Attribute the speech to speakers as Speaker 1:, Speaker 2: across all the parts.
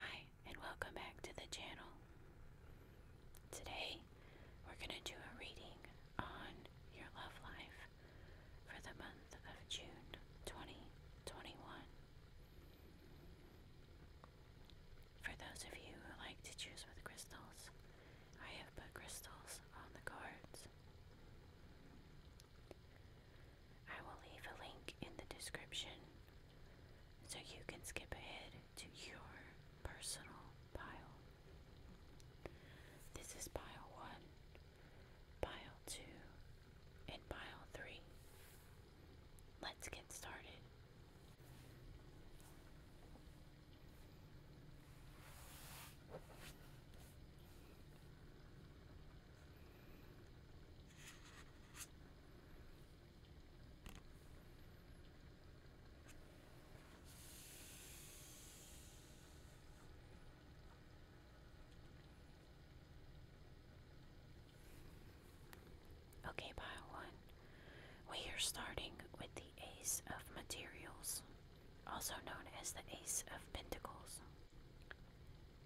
Speaker 1: Hi, and welcome back to the channel. Today, we're going to do a reading on your love life for the month of June 2021. For those of you who like to choose with crystals, I have put crystals on the cards. I will leave a link in the description so you can skip ahead to your personal pile. This is pile 1, pile 2, and pile 3. Let's get started. Okay, pile one. We are starting with the Ace of Materials, also known as the Ace of Pentacles.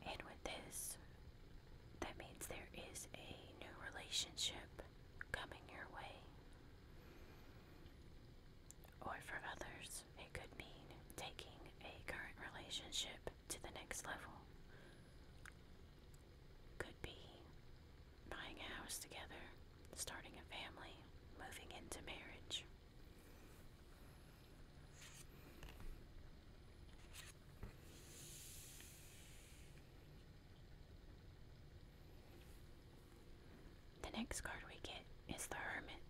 Speaker 1: And with this, that means there is a new relationship coming your way. Or for others, it could mean taking a current relationship to the next level. Could be buying a house together, starting a family, moving into marriage. The next card we get is the Hermit,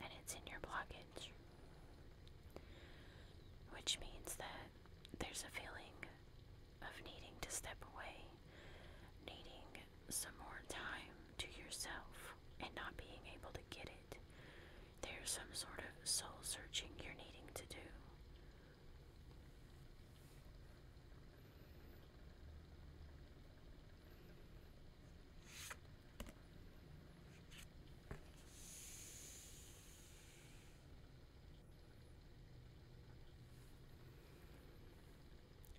Speaker 1: and it's in your blockage, which means that there's a feeling of needing to step away, needing some more time to yourself, and not being able to get it. There's some sort of soul searching you're needing to do.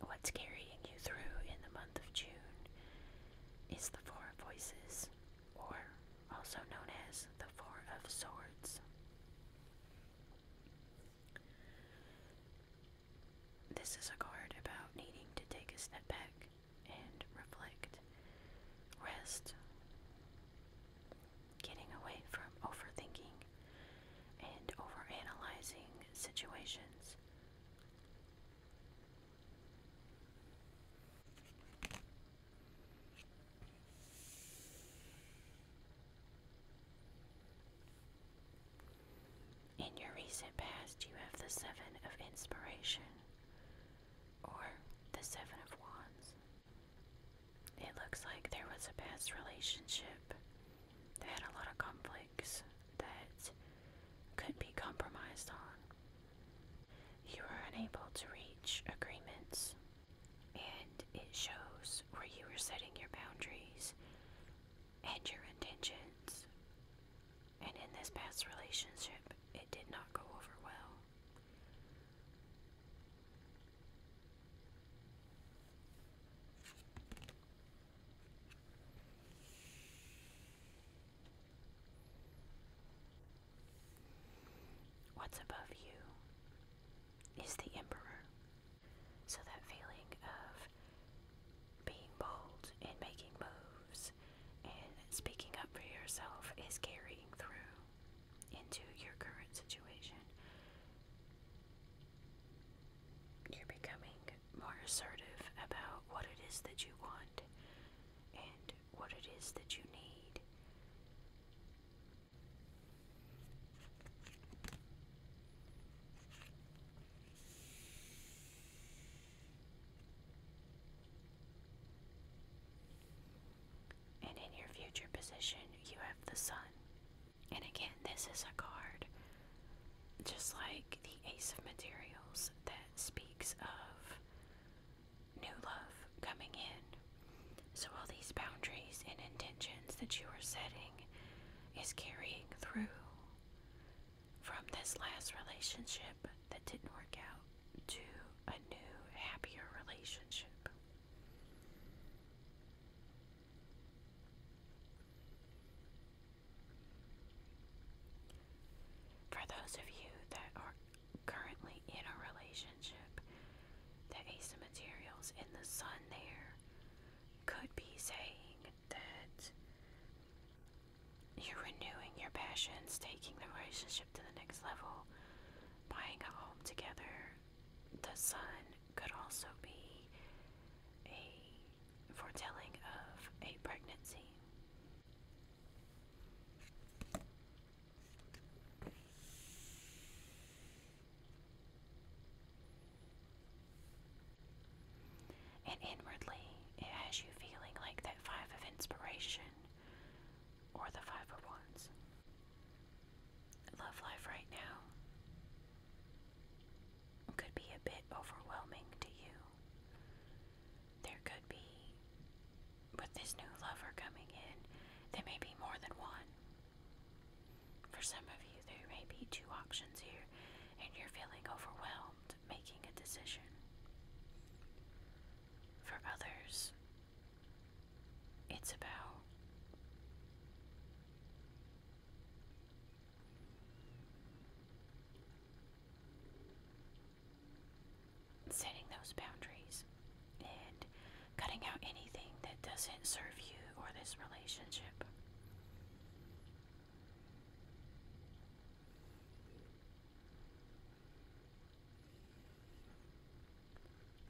Speaker 1: What's carrying you through in the month of June is the Four Voices, or also known as the Four of Swords. This is a card about needing to take a step back and reflect, rest, getting away from overthinking and overanalyzing situations. In your recent past, you have the Seven of Inspiration or the Seven of Wands. It looks like there was a past relationship that had a lot of conflicts that could be compromised on. You were unable to reach agreements, and it shows where you were setting your boundaries and your intentions. And in this past relationship, it did not go over well. What's above you is the emperor. So that feeling of being bold and making moves and speaking up for yourself is carrying through into your current situation. You're becoming more assertive about what it is that you want and what it is that you need. And in your future position, you have the sun. And again, this is a card, just like the Ace of Materials, that speaks of new love coming in. So, all these boundaries and intentions that you are setting is carrying through from this last relationship that didn't work out to a new, happier relationship. For those of you that are currently in a relationship, the ace of materials in the sun there could be saying that you're renewing your passions, taking the relationship to the next level, buying a home together. The sun could also be a foretelling of a pregnancy. And inwardly, it has you feeling like that five of inspiration or the five of wands. Love life right now could be a bit overwhelming to you there could be, with this new lover coming in, there may be more than one. For some of you, there may be two options here, and you're feeling overwhelmed making a decision. For others, it's about setting those boundaries and cutting out anything that doesn't serve you or this relationship.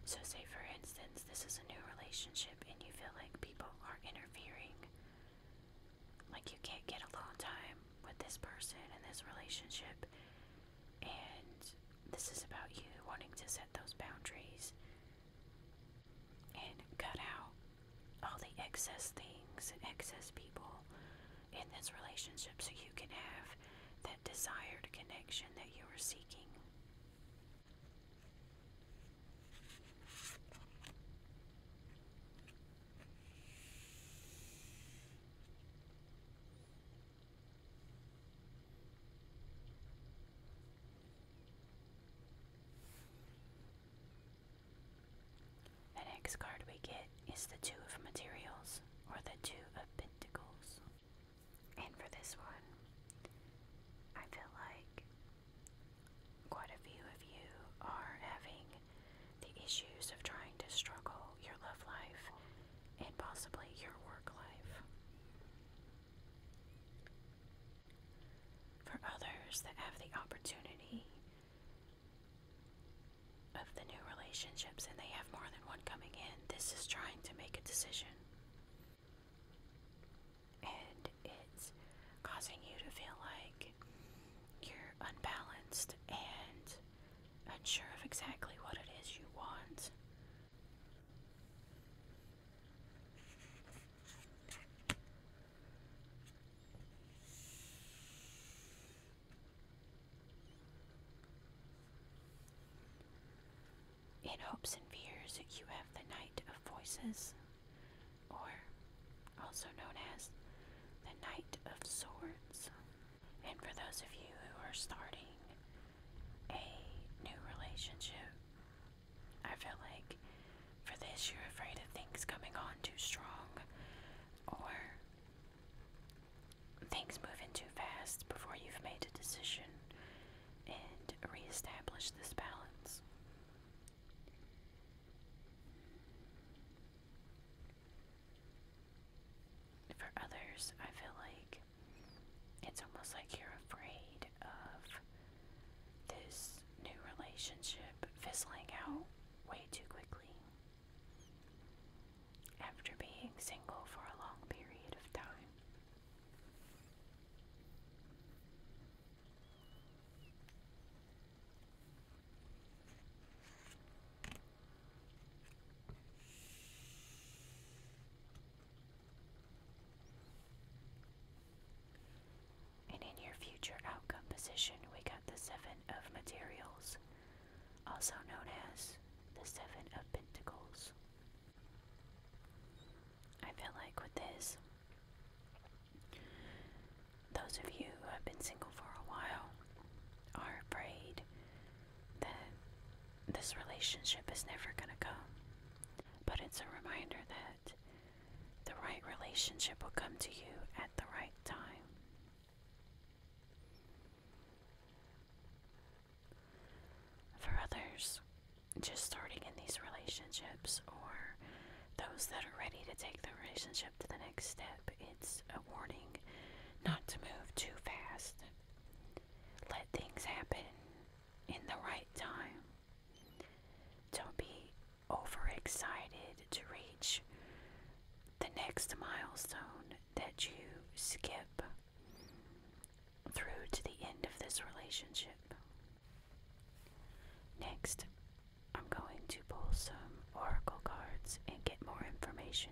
Speaker 1: So, say for instance, this is a new relationship and you feel like people are interfering like, you can't get alone time with this person and this relationship. And this is about you wanting to set those boundaries and cut out all the excess things excess people in this relationship so you can have that desired connection that you are seeking. The next card we get is the Two of Materials or the Two of Pentacles. And for this one, I feel like quite a few of you are having the issues of trying to struggle your love life and possibly your work life. For others that have the opportunity of the new relationships and they have more than one coming in, this is trying to make a decision. And it's causing you to feel like you're unbalanced and unsure of exactly what it is you want. In hopes and fears, you have the Knight of Voices, or also known as the Knight of Swords. And for those of you who are starting a new relationship, I feel like for this you're afraid of things coming on too strong or things moving too fast before you've made a decision and reestablish this balance. For others, I feel like it's almost like you're afraid of this new relationship fizzling out way too quickly. After being single for a long period of time, and in your future outcome position, we got the Seven of Materials, also known as the Seven of Pentacles. I feel like with this, those of you who have been single for a while, are afraid that this relationship is never going to come. But it's a reminder that the right relationship will come to you at the right time. For others, just starting in these relationships or those that are ready to take the relationship to the next step, it's a warning not to move too fast. Let things happen in the right time. Don't be overexcited to reach the next milestone that you skip through to the end of this relationship. Next, I'm going to pull some oracle cards and get more information.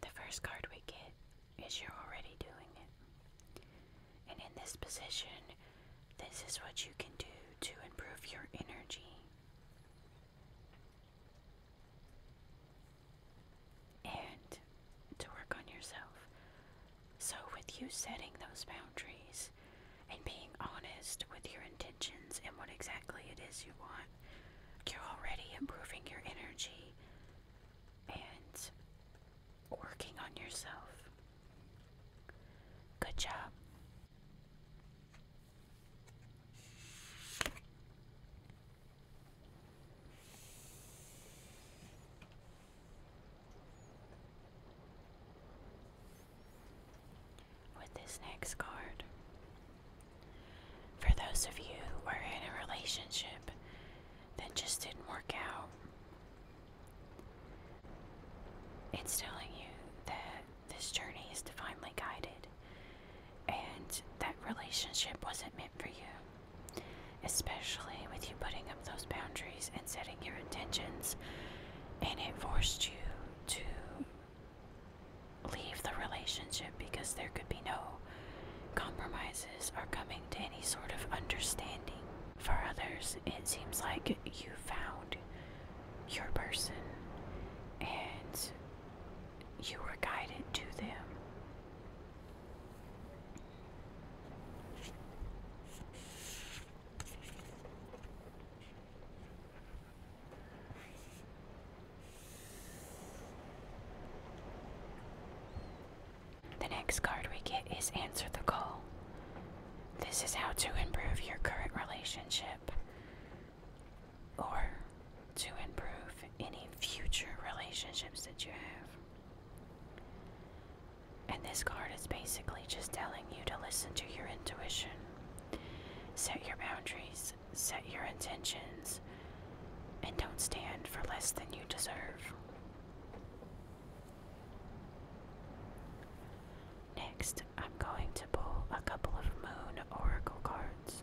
Speaker 1: The first card we get is You're Already Doing It. And in this position, this is what you can do to improve your energy. And to work on yourself. So, with you setting those boundaries, and being honest with your intentions and what exactly it is you want, you're already improving your energy and working on yourself. Good job with this next card. For those of you who were in a relationship that just didn't work out, it's telling you that this journey is divinely guided and that relationship wasn't meant for you, especially with you putting up those boundaries and setting your intentions, and it forced you to leave the relationship because there could be no compromises or coming to any sort of understanding. For others, it seems like you found your person and you were guided to them. The next card we get is Answer the Call. This is how to improve your current relationship or to improve any future relationships that you have. And this card is basically just telling you to listen to your intuition, set your boundaries, set your intentions and don't stand for less than you deserve. Next, I'm going to pull a couple of moon oracle cards.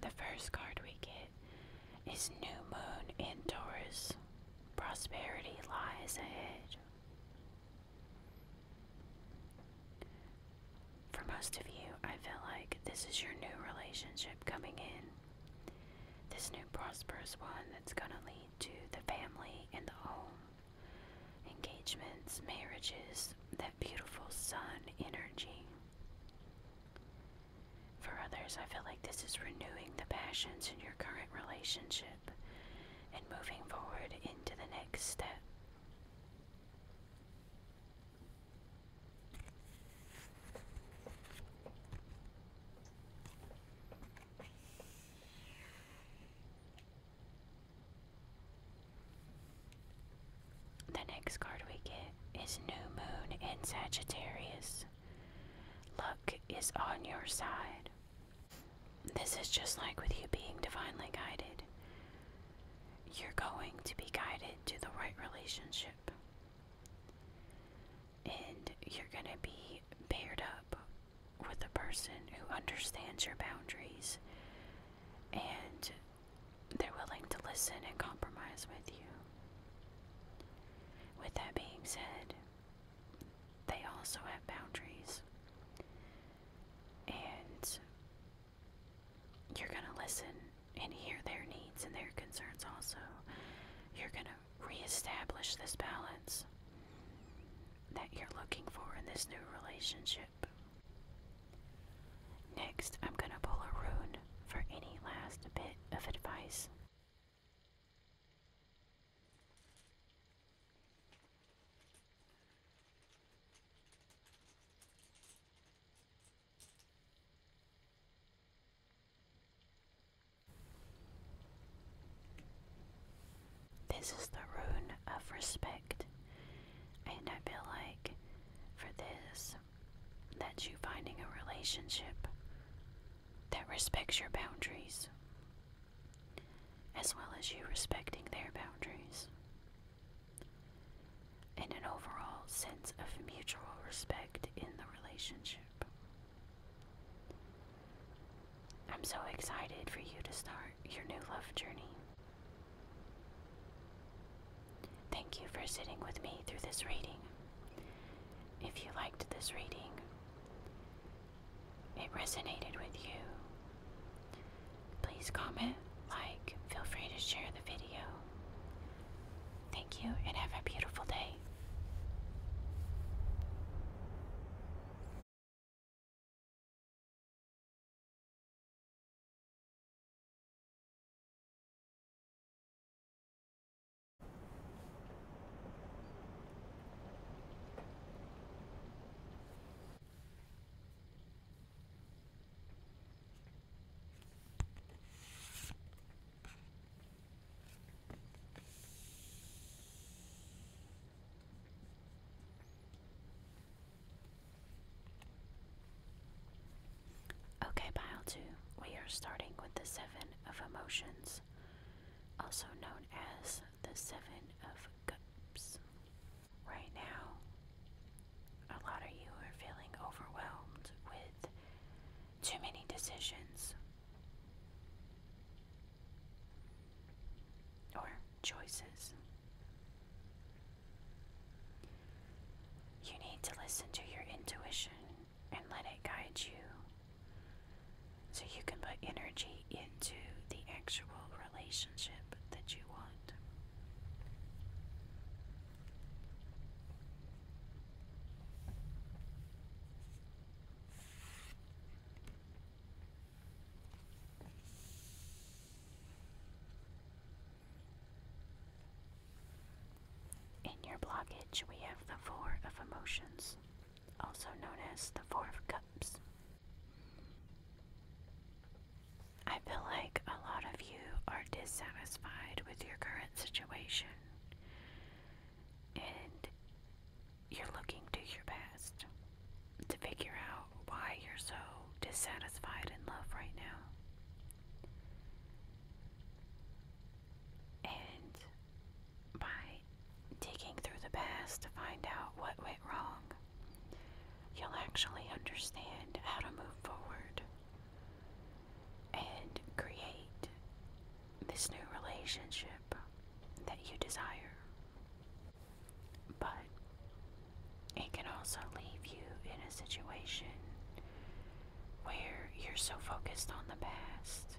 Speaker 1: The first card we get is New Moon in Taurus. Prosperity lies ahead. For most of you, I feel like this is your new relationship coming in. This new prosperous one that's going to lead to the family and the home, engagements, marriages, that beautiful sun energy. For others, I feel like this is renewing the passions in your current relationship and moving forward into the next step. The next card we get is New Moon in Sagittarius. Luck is on your side. This is just like with you being divinely guided. You're going to be guided to the right relationship. And you're going to be paired up with a person who understands your boundaries and they're willing to listen and compromise with you. With that being said, they also have boundaries. And you're going to listen and hear their needs and their concerns also. You're going to reestablish this balance that you're looking for in this new relationship. Next, I'm going to pull a rune for any last bit of advice. This is the rune of respect, and I feel like for this, that you finding a relationship that respects your boundaries as well as you respecting their boundaries. And an overall sense of mutual respect in the relationship. I'm so excited for you to start your new love journey. Thank you for sitting with me through this reading. If you liked this reading, it resonated with you. Please comment, like, feel free to share the video. Thank you and have a beautiful day. Okay, pile two, we are starting with the seven of emotions, also known as the Seven of Cups. Right now, a lot of you are feeling overwhelmed with too many decisions or choices. You need to listen to your intuition and let it guide you so you can put energy into the actual relationship that you want. In your blockage, we have the Four of Emotions also known as the Four of Cups. I feel like a lot of you are dissatisfied with your current situation and you're looking to your past to figure out why you're so dissatisfied in love right now. And by digging through the past to find out what went wrong, you'll actually understand how to move forward and create this new relationship that you desire. But it can also leave you in a situation where you're so focused on the past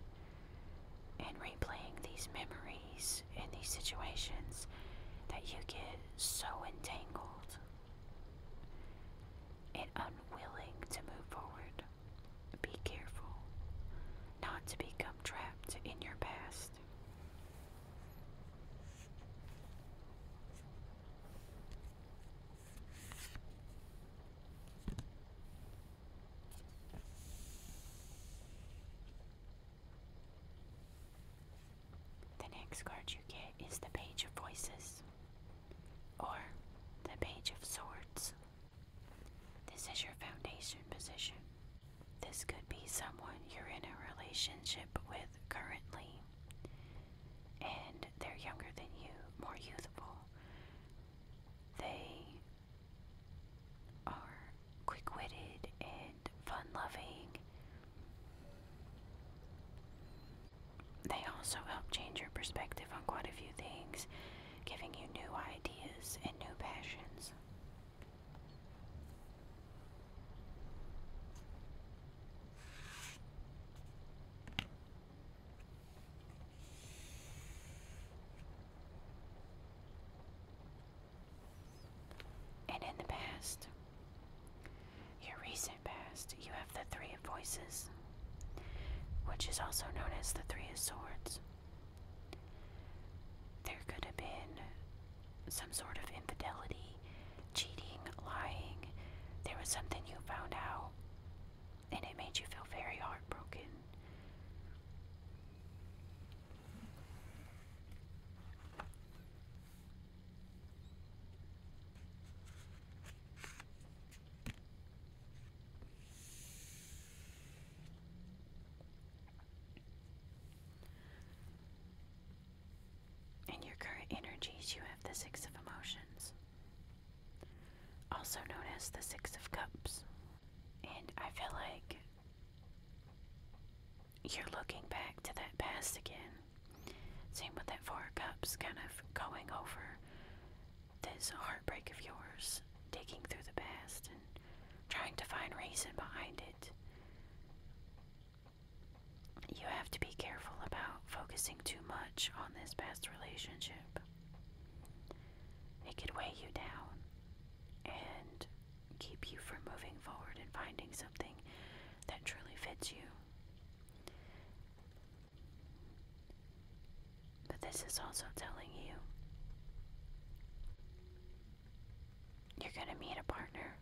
Speaker 1: and replaying these memories and these situations that you get so entangled and unwilling to move forward. Be careful not to become trapped in your past. The next card you get is the Page of Voices or the Page of Swords. This is your foundation position. This could be someone you're in a relationship with currently, and they're younger than you, more youthful. They are quick witted and fun loving. They also help change your perspective on quite a few things, giving you new ideas and new passions. And in the past, your recent past, you have the Three of Voices, which is also known as the Three of Swords. There could have been some sort of infidelity, cheating, lying. There was something you found out, and it made you feel very heartbroken. In your current energies, you have the Six of Emotions, also known as the Six of Cups. And I feel like you're looking back to that past again. Same with that Four Cups, kind of going over this heartbreak of yours, digging through the past and trying to find reason behind it. You have to be careful about focusing too much on this past relationship. It could weigh you down and keep you from moving forward and finding something that truly fits you. But this is also telling you you're going to meet a partner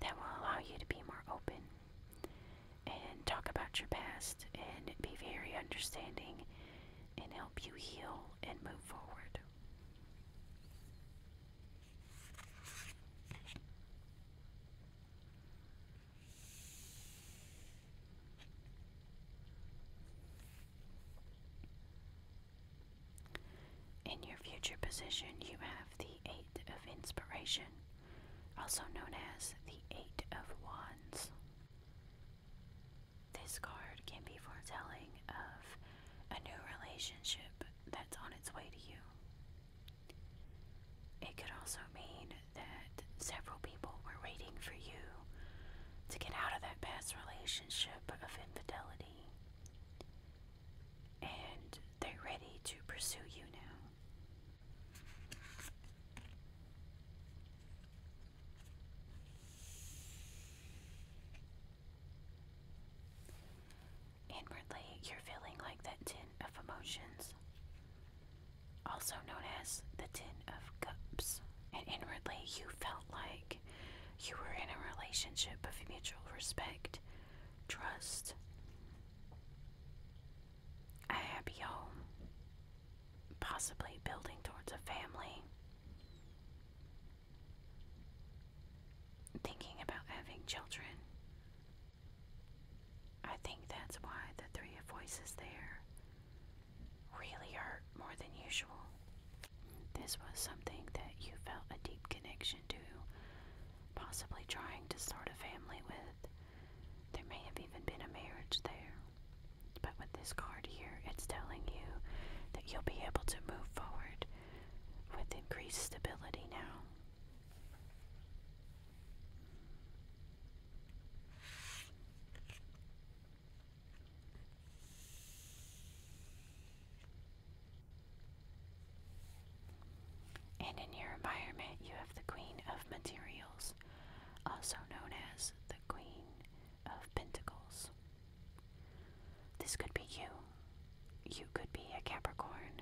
Speaker 1: that will allow you to be more open and talk about your past and be very understanding and help you heal and move forward. In your future position, you have the Eight of Inspiration, also known as the Eight of Wands. This card can be foretelling of a new relationship that's on its way to you. It could also mean that several people were waiting for you to get out of that past relationship of infidelity and they're ready to pursue you now. Inwardly, you're feeling like that tin of emotions, also known as the tin of cups. And inwardly, you felt like you were in a relationship of mutual respect, trust, a happy home, possibly building towards a family thinking about having children. I think that's why the three voices there really hurt more than usual. This was something that you felt a deep connection to, possibly trying to start a family with. There may have even been a marriage there. But with this card here, it's telling you that you'll be able to move forward with increased stability now. And in your environment, you have the Queen of Materials, also known as the Queen of Pentacles. This could be you. You could be a Capricorn,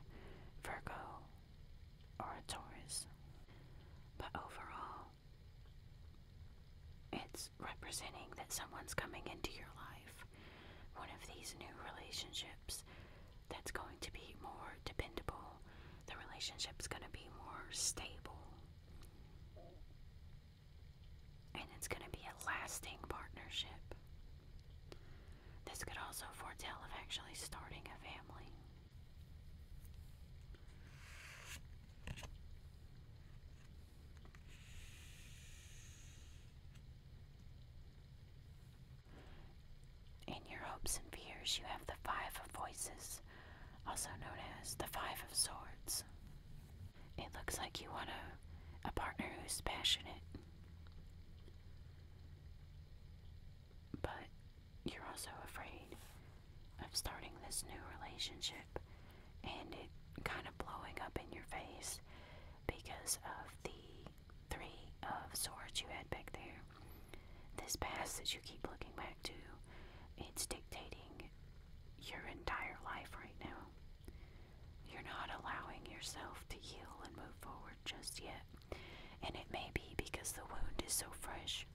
Speaker 1: Virgo, or a Taurus. But overall, it's representing that someone's coming into your life, one of these new relationships that's going to be more dependable, the relationship's going to be more stable and it's going to be a lasting partnership. This could also foretell of actually starting a family. In your hopes and fears, you have the Five of Voices, also known as the Five of Swords. It looks like you want a, a partner who's passionate. But you're also afraid of starting this new relationship and it kind of blowing up in your face because of the three of swords you had back there. This past that you keep looking back to, it's dictating your entire life right now. You're not allowing yourself to heal and move forward just yet, and it may be because the wound is so fresh.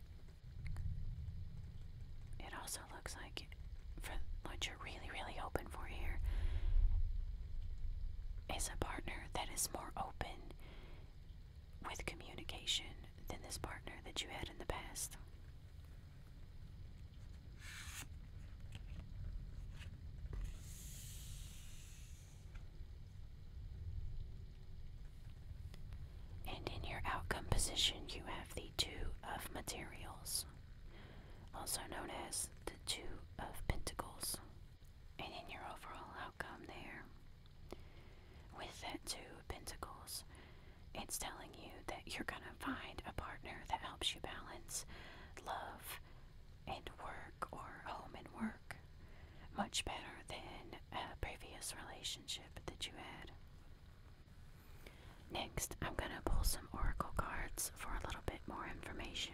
Speaker 1: It also looks like for what you're really, really hoping for here is a partner that is more open with communication than this partner that you had in the past. And in your outcome position, you have the Two of Materials, also known as the Two of Pentacles. And in your overall outcome, there, with that Two of Pentacles, it's telling you that you're going to find a partner that helps you balance love and work or home and work much better than a previous relationship that you had. Next, I'm going to pull some oracle cards for a little bit more information.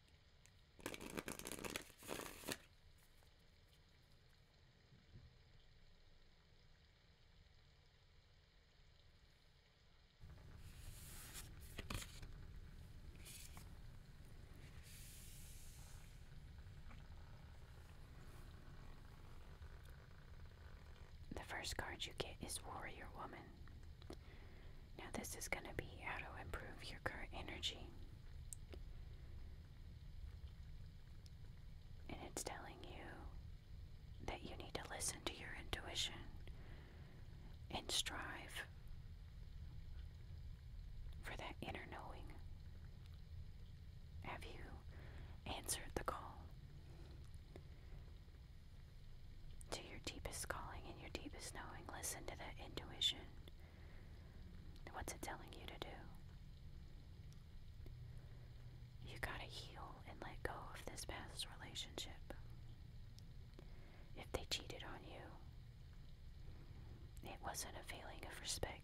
Speaker 1: The first card you get is Warrior Woman. Now, this is going to be how to improve your current energy. And it's telling you that you need to listen to your intuition and strive for that inner knowing. Have you answered the call to your deepest calling and your deepest knowing? Listen to that intuition. What's it telling you to do? You gotta heal and let go of this past relationship. If they cheated on you, it wasn't a feeling of respect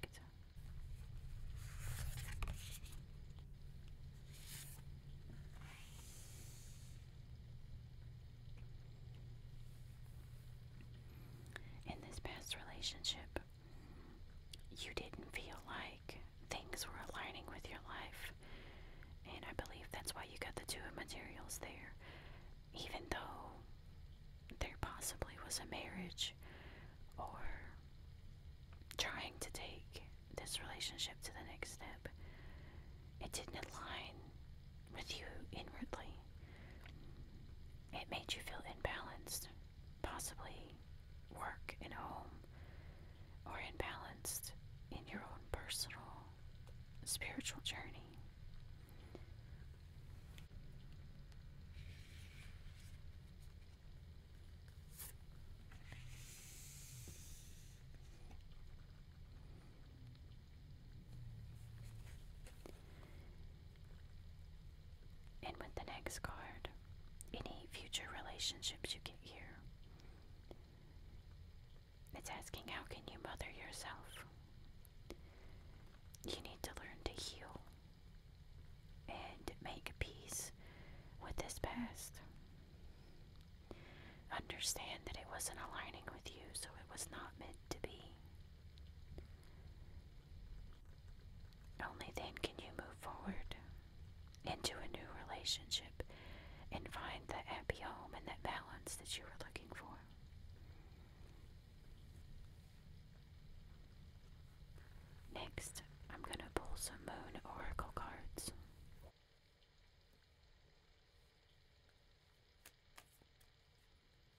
Speaker 1: in this past relationship, you didn't feel like things were aligning with your life. And I believe that's why you got the two of materials there. Even though there possibly was a marriage or trying to take this relationship to the next step, it didn't align with you inwardly. It made you feel imbalanced, possibly work and home, or imbalanced in your own personal spiritual journey. And with the next card, any future relationships you get here. It's asking how can you mother yourself? You need to learn to heal and make peace with this past. Understand that it wasn't aligning with you, so it was not meant to be. Only then can you move forward into a new relationship and find that happy home and that balance that you were looking for. Next, I'm going to pull some Moon Oracle cards.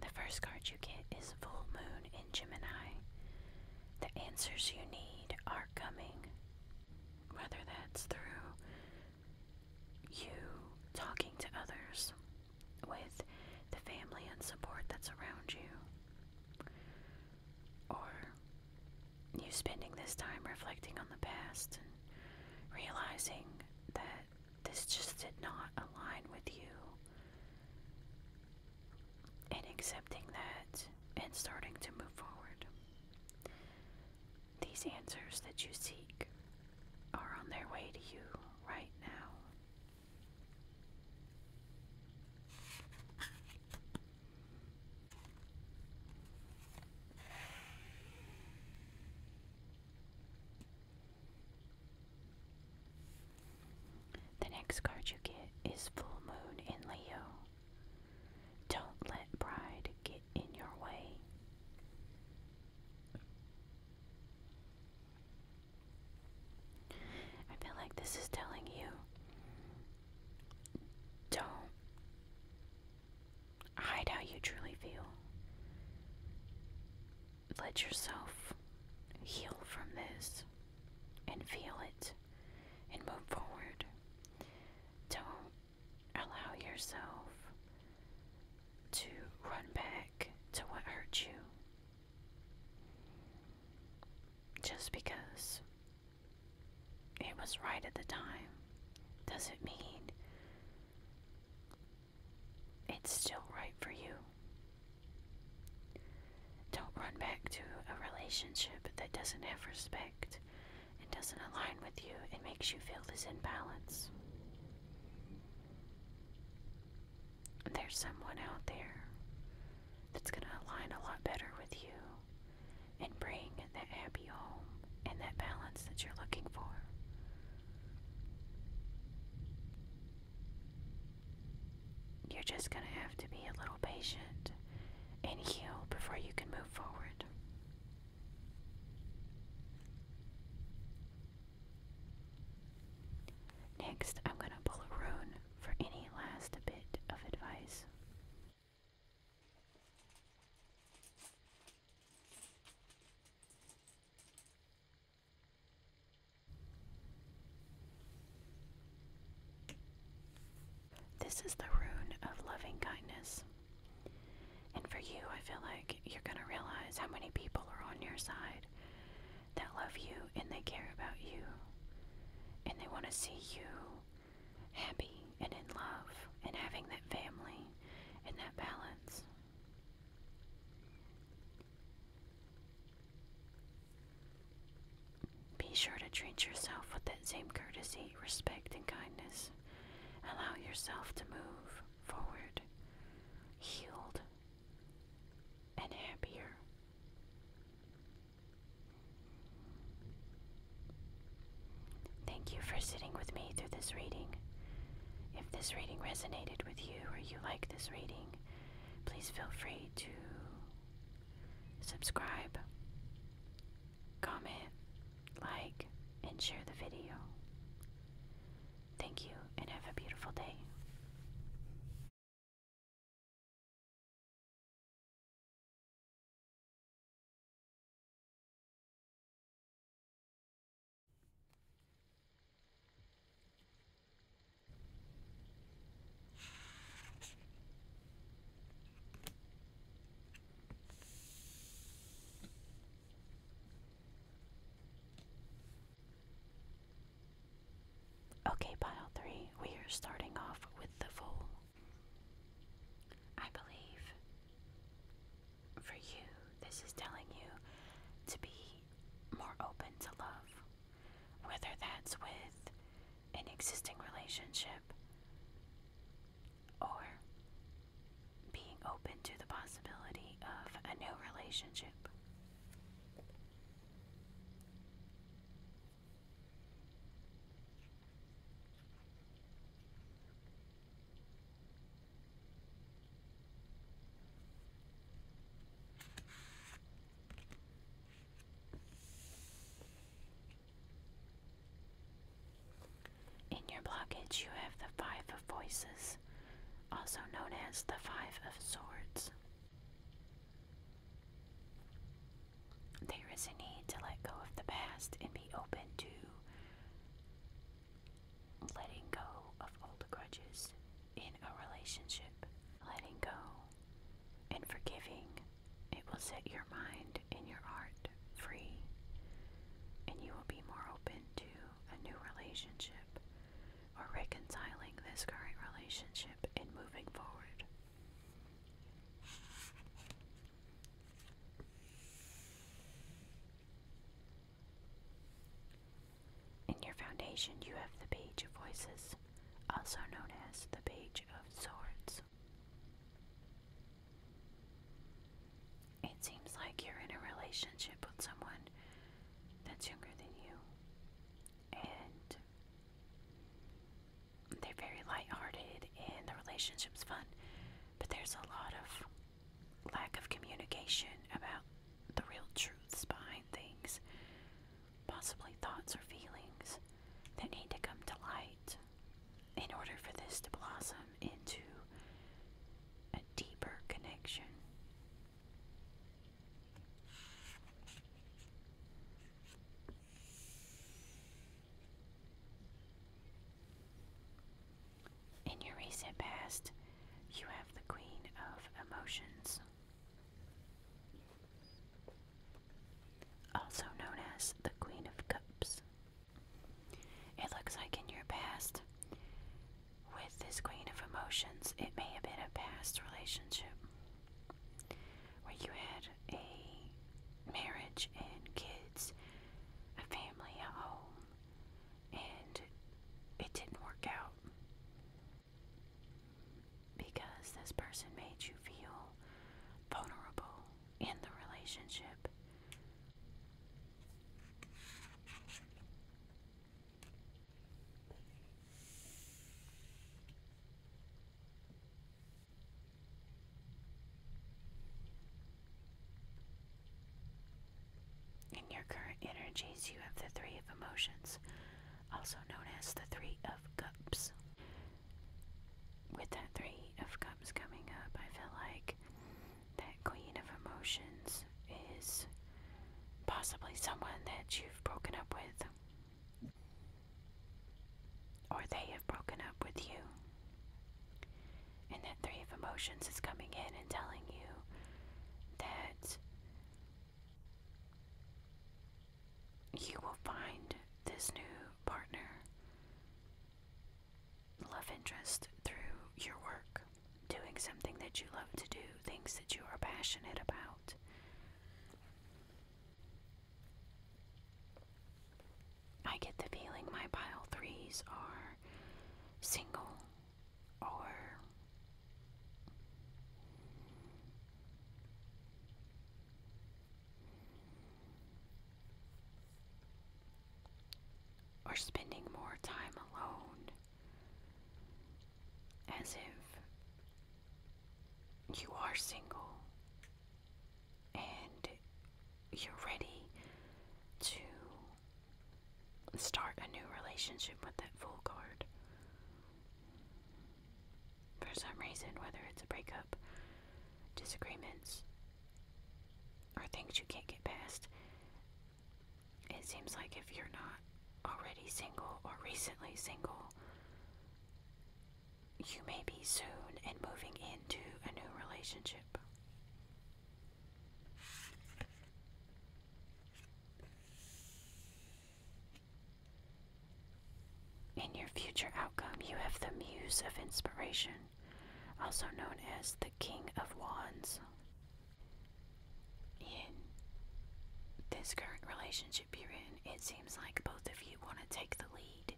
Speaker 1: The first card you get is Full Moon in Gemini. The answers you need are coming. Whether that's through you talking to others, with the family and support that's around you, or you spending this time reflecting on the past and realizing that this just did not align with you. And accepting that and starting to move forward. These answers that you seek are on their way to you right now. The next card you get is Full Moon in Leo. Don't let pride get in your way. I feel like this is telling you don't hide how you truly feel. Let yourself heal from this and feel it and move forward. Don't allow yourself to run back to what hurt you. Just because it was right at the time does it mean it's still right for you. Don't run back to a relationship that doesn't have respect and doesn't align with you and makes you feel this imbalance. There's someone out there that's going to align a lot better with you and bring that happy home and that balance that you're looking for. You're just going to have to be a little patient and heal before you can move forward. Next, I'm going to pull a rune for any last bit of advice. This is the rune of loving kindness. And for you, I feel like you're going to realize how many people are on your side that love you and they care about you and they want to see you happy and in love and having that family and that balance. Be sure to treat yourself with that same courtesy, respect, and kindness. Allow yourself to move forward, healed, and happier. Thank you for sitting with me through this reading. If this reading resonated with you or you like this reading, please feel free to subscribe, comment, like, and share the video. Thank you and have a beautiful day. Okay, pile three, we are starting off with the full I believe for you, this is telling you to be more open to love, whether that's with an existing relationship or being open to the possibility of a new relationship. In your blockage, you have the Five of Voices, also known as the Five of Swords. There is a need to let go of the past and be open to letting go of all the grudges in a relationship. Letting go and forgiving. It will set your mind and your heart free, and you will be more open to a new relationship or reconciling this current relationship and moving forward. In your foundation, you have the Page of Voices, also known as the Page of Swords. It seems like you're in a relationship with someone that's younger than you, and they're very light-hearted, and the relationship's fun, but there's a lot of lack of communication about the real truths behind things, possibly thoughts or feelings that need to come to light in order for this to blossom into a deeper connection. In your recent past, you have the Queen of Emotions, also known as the Queen of Cups. It looks like in your past, with this Queen of Emotions, it may have been a past relationship where you had a marriage and kids, a family, a home, and it didn't work out because this person made you feel vulnerable in the relationship. In your current energies, you have the Three of Emotions, also known as the Three of Cups. With that Three of Cups coming up, I feel like that Queen of Emotions is possibly someone that you've broken up with. Or they have broken up with you. And that three of emotions is coming in and telling you that you will find this new partner, love interest, through your work, doing something that you love to do, things that you are passionate about. I get the feeling my pile threes are single or or spending more time alone as if you are single and you're ready to start a new relationship with that full card. For some reason, whether it's a breakup, disagreements, or things you can't get past, it seems like if you're not already single or recently single, you may be soon and moving into a new relationship. In your future outcome, you have the Muse of Inspiration, also known as the King of Wands. In this current relationship you're in, it seems like both of you want to take the lead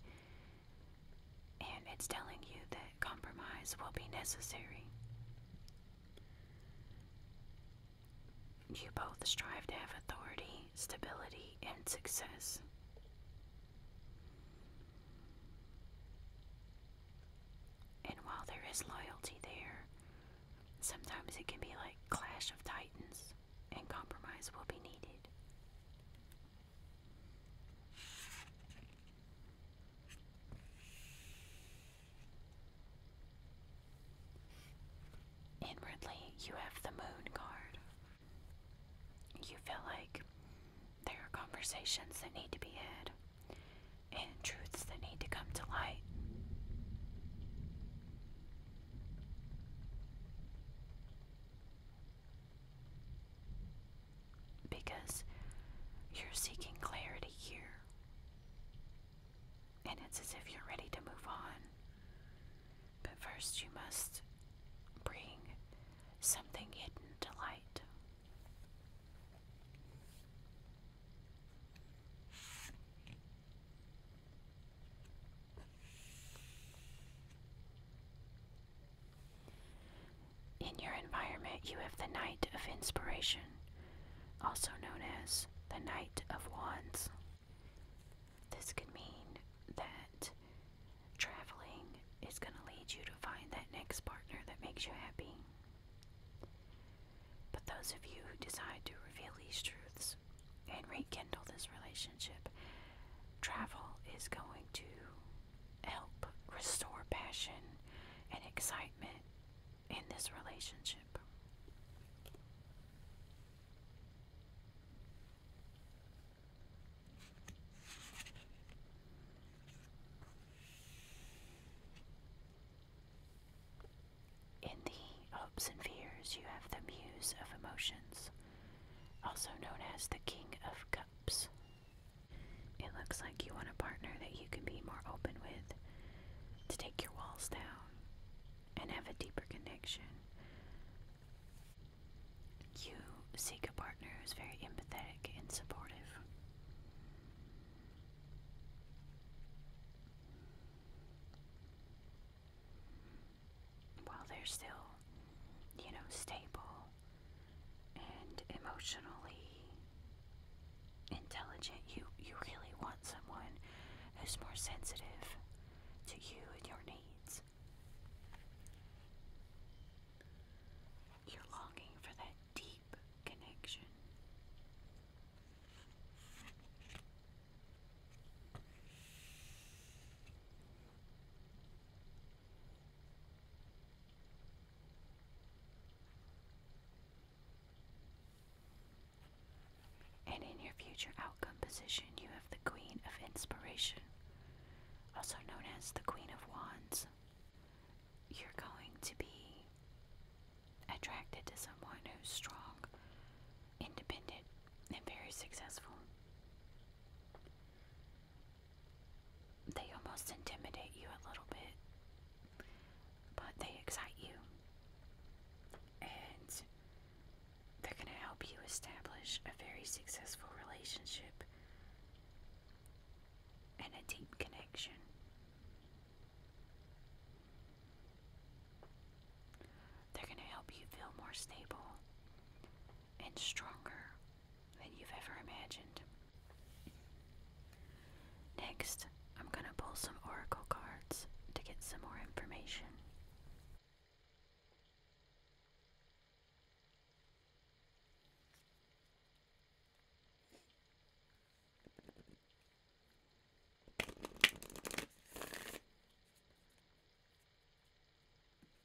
Speaker 1: and it's telling you that compromise will be necessary. You both strive to have authority, stability, and success. And while there is loyalty there, sometimes it can be like clash of titans and compromise will be needed. Inwardly, you have the moon card. You feel like there are conversations that need to be had and truths that need to come to light. Because you're seeking clarity here. And it's as if you're ready to move on. But first, you must bring something hidden to light. In your environment, you have the night of Inspiration, also known as the night of Wands. This could mean that traveling is going to lead you to find that next partner that makes you happy. But those of you who decide to reveal these truths and rekindle this relationship, travel is going to help restore passion and excitement in this relationship. In the hopes and fears, you have the muse of emotions, also known as the king of cups. It looks like you want a partner that you can be more open with, to take your walls down, and have a deeper connection. You seek a partner who's very empathetic and supportive. While they're still you know, stable and emotionally intelligent. You you really want someone who's more sensitive to you and your needs. You're longing for that deep connection. And in your future outcome position, you have the Queen of Inspiration, also known as the Queen of Wands. You're going to be attracted to someone who's strong, independent, and very successful. They almost intimidate you a little bit, but they excite you. And they're going to help you establish a very successful relationship and a deep connection. They're going to help you feel more stable and stronger than you've ever imagined. Next, I'm going to pull some oracle cards to get some more information.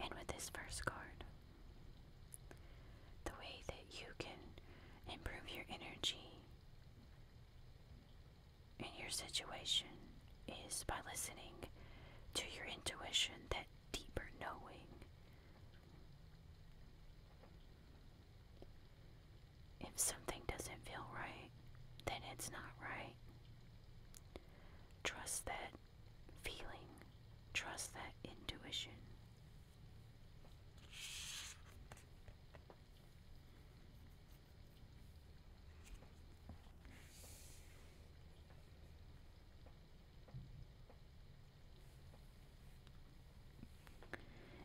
Speaker 1: And with this first card, the way that you can improve your energy in your situation is by listening to your intuition, that deeper knowing. If something doesn't feel right, then it's not right. Trust that feeling, trust that intuition.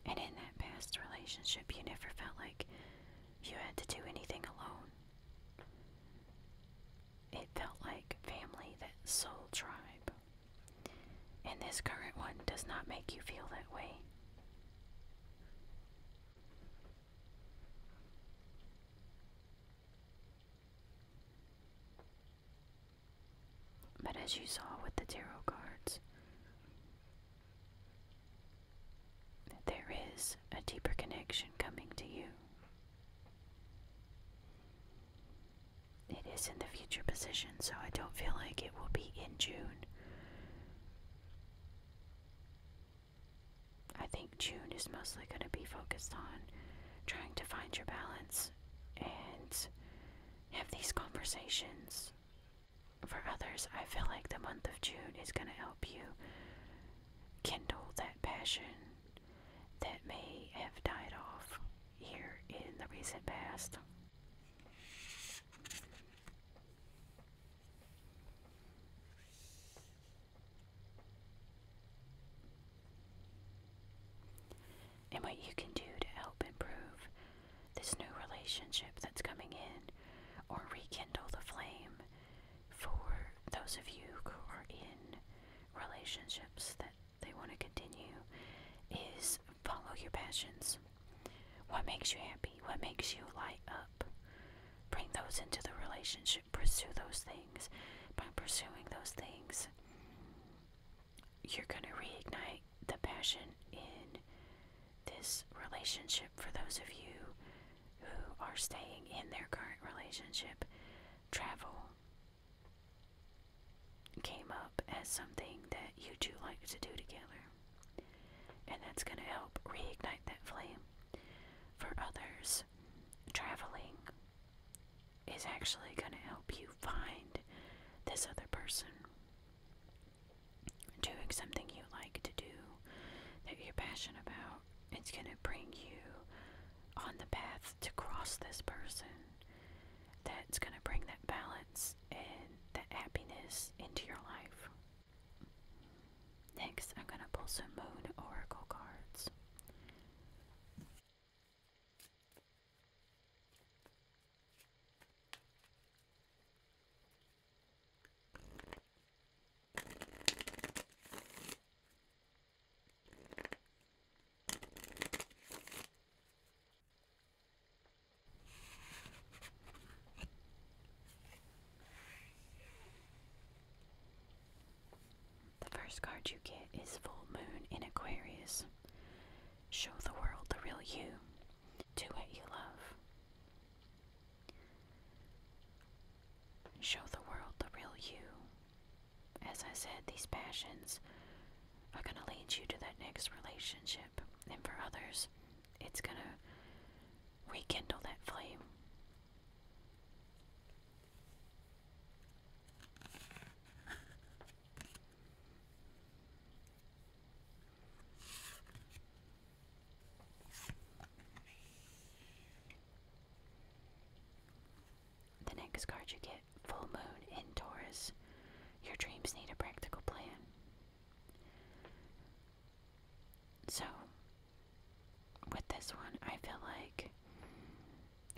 Speaker 1: And in that past relationship, you never felt like you had to do anything alone. It felt like family, that soul tribe. And this current one does not make you feel that way. But as you saw with the tarot cards, there is a deeper connection coming to you. It is in the future position, so I don't feel like it will be in June. I think June is mostly going to be focused on trying to find your balance and have these conversations. For others, I feel like the month of June is going to help you kindle that passion that may have died off here in the recent past. And what you can do to help improve this new relationship that's coming in or rekindle the flame for those of you who are in relationships that they want to continue is follow your passions. What makes you happy? What makes you light up? Bring those into the relationship. Pursue those things. By pursuing those things, you're going to reignite the passion in this relationship for those of you who are staying in their current relationship. Travel came up as something that you two like to do together and that's going to help reignite that flame. For others, traveling is actually going to help you find this other person. Doing something you like to do that you're passionate about, it's going to bring you on the path to cross this person. That's going to bring that balance and that happiness into your life. Next, I'm going to pull some Moon Oracle cards. The first card you get is Full Moon in Aquarius. Show the world the real you. Do what you love. Show the world the real you. As I said, these passions are going to lead you to that next relationship and for others, it's going to rekindle that flame. The next card you get, Full Moon in Taurus. Your dreams need a practical plan. So, with this one, I feel like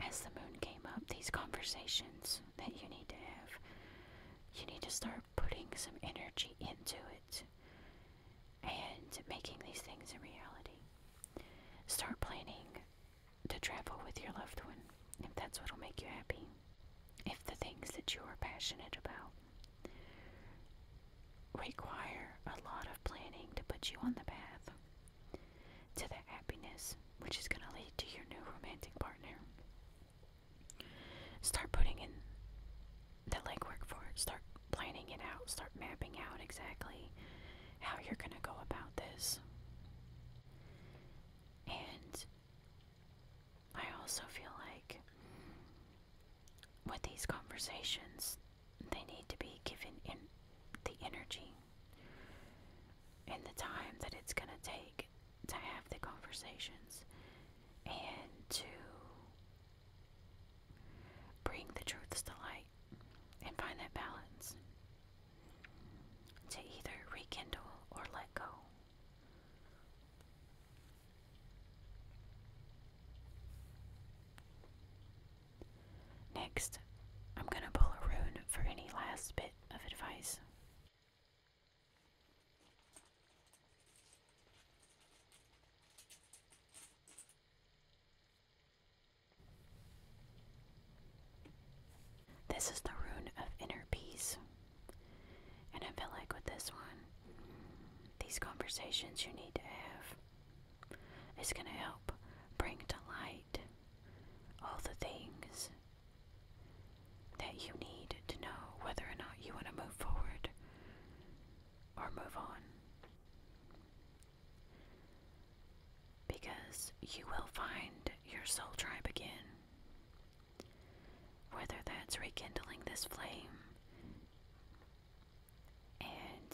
Speaker 1: as the moon came up, these conversations that you need to have, you need to start putting some energy into it and making these things a reality. Start planning to travel with your loved one if that's what'll make you happy. If the things that you are passionate about require a lot of planning to put you on the path to the happiness which is going to lead to your new romantic partner. Start putting in the legwork for it. Start planning it out. Start mapping out exactly how you're going to go about this. And I also feel like with these conversations, they need to be given in the energy and the time that it's going to take to have the conversations and to bring the truths to light and find that balance to either rekindle or let go. Next, I'm going to pull a rune for any last bit of advice. This is the rune of inner peace. And I feel like with this one, these conversations you need to have. is going to help bring to light all the things that you need to know whether or not you want to move forward or move on. Because you will find your soul tribe again. Whether that's rekindling this flame and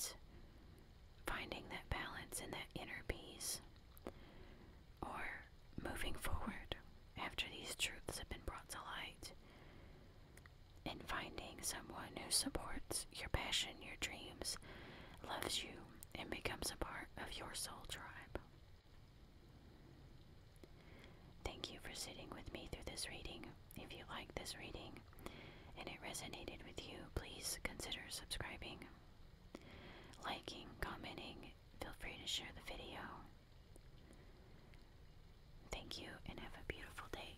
Speaker 1: finding that balance and that inner peace or moving forward after these truths have been brought to light and finding someone who supports your passion, your dreams, loves you, and becomes a part of your soul tribe. Thank you for sitting with me through this reading. If you like this reading and it resonated with you, please consider subscribing, liking, commenting. Feel free to share the video. Thank you and have a beautiful day.